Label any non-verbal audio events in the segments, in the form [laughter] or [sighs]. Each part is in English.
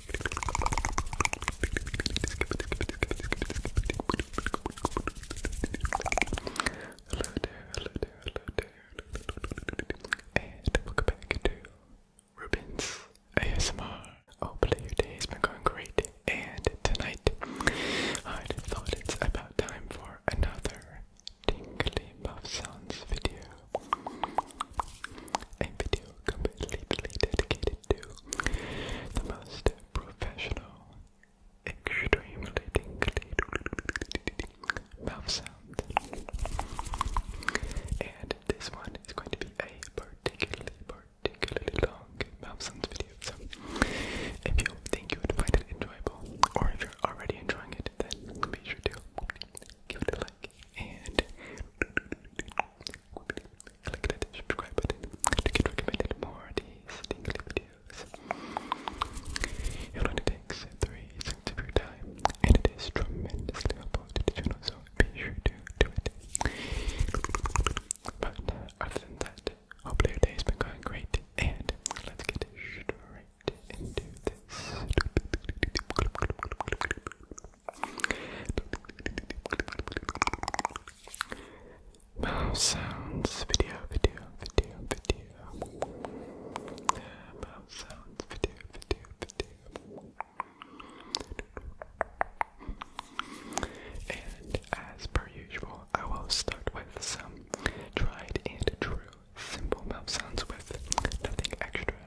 Hello there, And welcome back to Rubens ASMR. Hopefully your day has been going great. And tonight, I thought it's about time for another tingly muff video. A video completely dedicated to the most professional, extremely mouth sound. And this one is going to be a particularly, particularly long mouth sounds video. So if you think you would find it enjoyable, or if you're already enjoying it, then be sure to give it a like and click that subscribe button to get recommended more these tingly videos. It only takes 3 cents of your time and it is tremendously helpful to the channel, so be sure to do it. But other than that, hope your day has been going great and let's get straight into this. Mouse sounds video, video, video, video. Mouse sounds video, video, video. And as per usual, I will start with some tried and true simple mouth sounds with nothing extra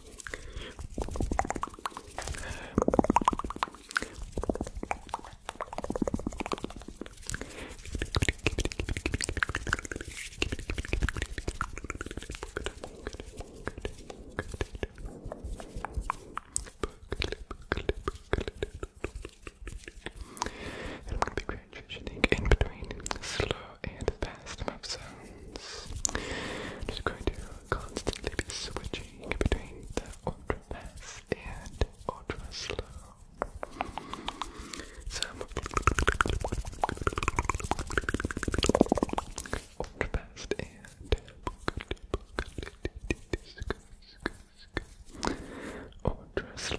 And I'm going to be transitioning in between slow and fast moves. So I'm just going to constantly be switching between the ultra fast and ultra slow. So ultra fast and ultra slow.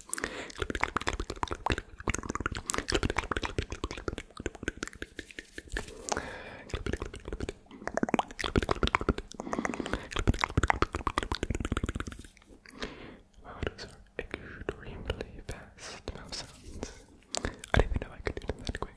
Wow, those are extremely fast mouth sounds. I didn't even know I could do them that quick.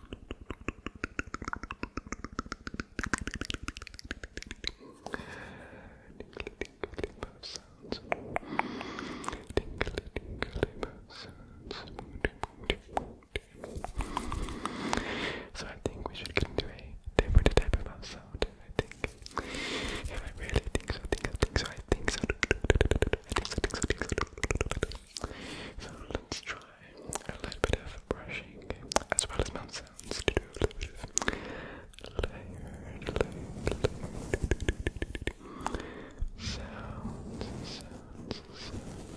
Tinkly, tinkly mouth sounds. Tinkly, tinkly So I think we should get into a different type of sound. I think. Yeah, I really think I think I think so. I think so. I think so. I think So let's try a little bit of brushing as well as mouth sounds do a little bit of layered, layered, sounds, sounds, sounds.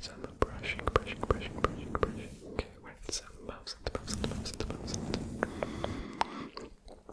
So i brushing, brushing, brushing, brushing, brushing with some mouth sounds, mouth sounds, mouth sounds, mouth sounds.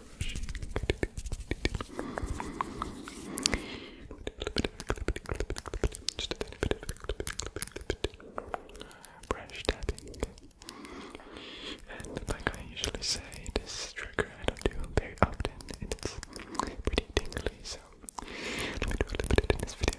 brushing. Just brush tapping. And like I usually say, this trigger I don't do very often, it's pretty tingly, so let me do a in this video.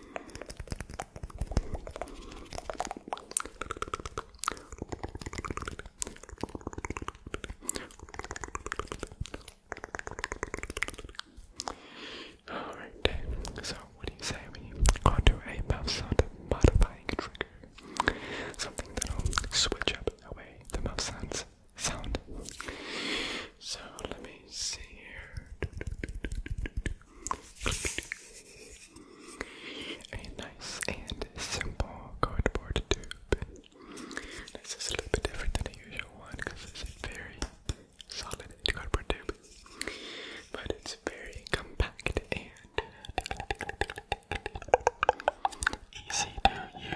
Alright, so what do you say we go to a mouth sound modifying trigger? Something that'll switch up the way the mouth sounds sound. So let me see here. A nice and simple cardboard tube. This is a little bit different than the usual one because it's a very solid cardboard tube. But it's very compact and easy to use.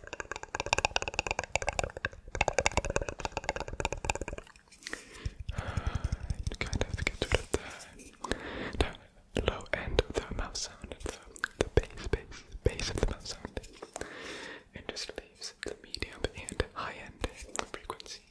You [sighs] kind of have rid of the, low end of the mouth sound, the, the bass, bass, bass of the mouth sound, and just leaves the medium and high end frequencies.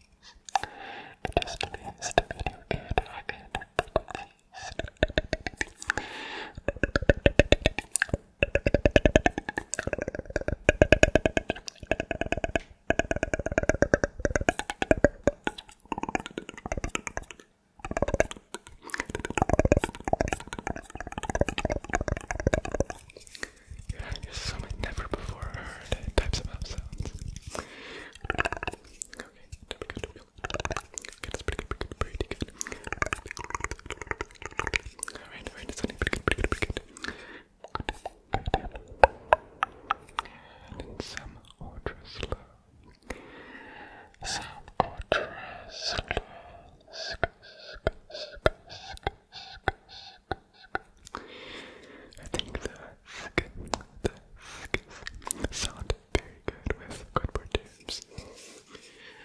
There's so many never before heard types of mouth sounds. Okay, pretty good, pretty good, pretty good. Alright, alright, some ultra Some ultra I think the the sound very good with cardboard tips.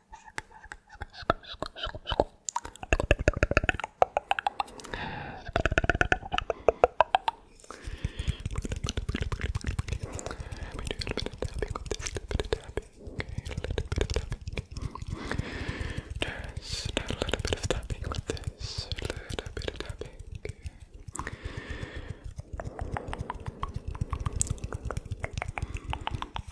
Just a little bit of tapping with this, a little bit of tapping.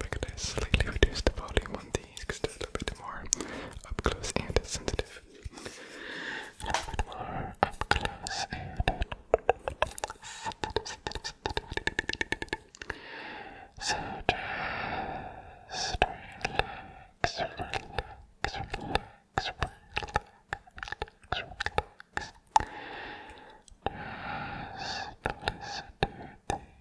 We're gonna slightly reduce the volume on these because they're a little bit more up close and sensitive. A little bit more up close and sensitive, sensitive, sensitive. So just relax, relax, relax, relax, relax. Just listen to these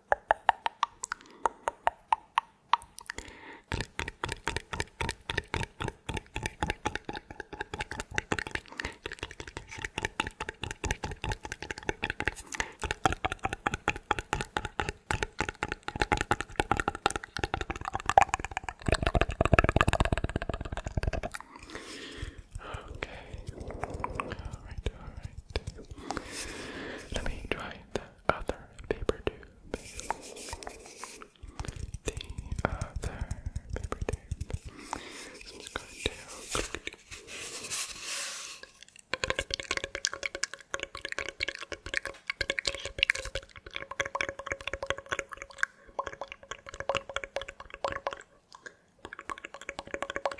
Okay. All right. All right. Let me dry the other paper tube. The other paper tube. So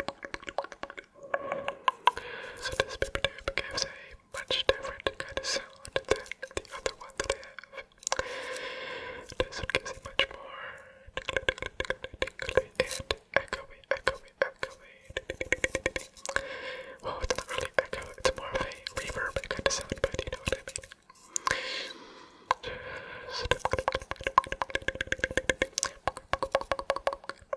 going to so this paper tube gives a much different kind of sound than the other one that I have. This one gives a much more tickly, tickly, tickly, tickly, and echoey, echoey, echoey. Well, it's not really echo, it's more of a reverb kind of sound, but you know what I mean. Just I'm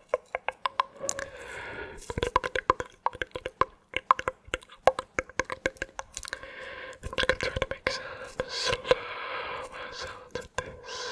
going to make some slow sounds with this.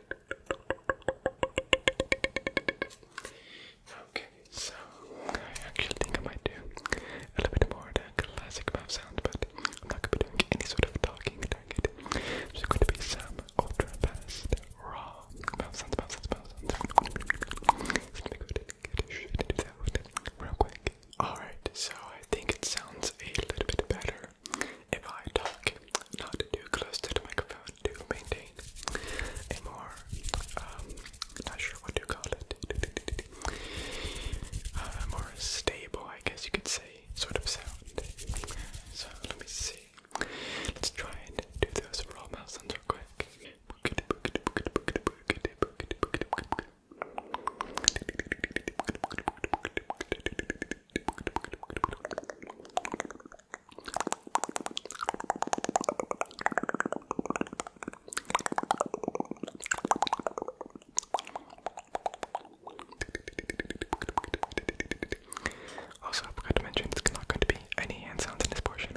Okay, so I actually think I might do a little bit more of classic mouth sound, but I'm not gonna be doing any sort of talking during it. There's gonna be some ultra raw mouth sounds, mouth sounds, mouth sounds. It's gonna do that real quick. Alright, so I think it sounds a little bit better better if I talk not too close to the microphone to maintain a more, um, not sure what to call it, uh, a more stable, I guess you could say, sort of sound. So let me see. Let's try and do those roll mouse sounds real quick. Also, I forgot to mention it's not going to be any hand sounds in this portion.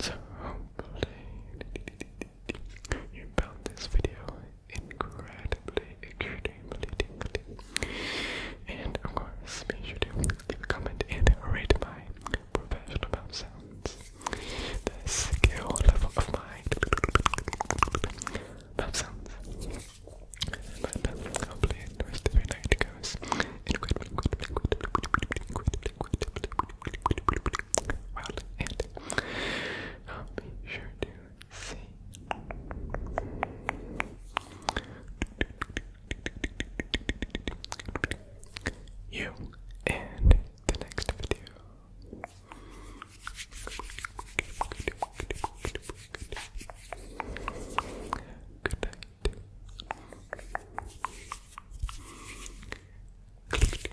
So hopefully you found this video incredibly, extremely And of course, be sure to leave a comment and rate my professional sounds. The skill level of my sounds. But uh, hopefully, the rest of your night goes incredibly, incredibly, incredibly, incredibly, incredibly, incredibly well. And uh, be sure to C. You and the next video. Good night.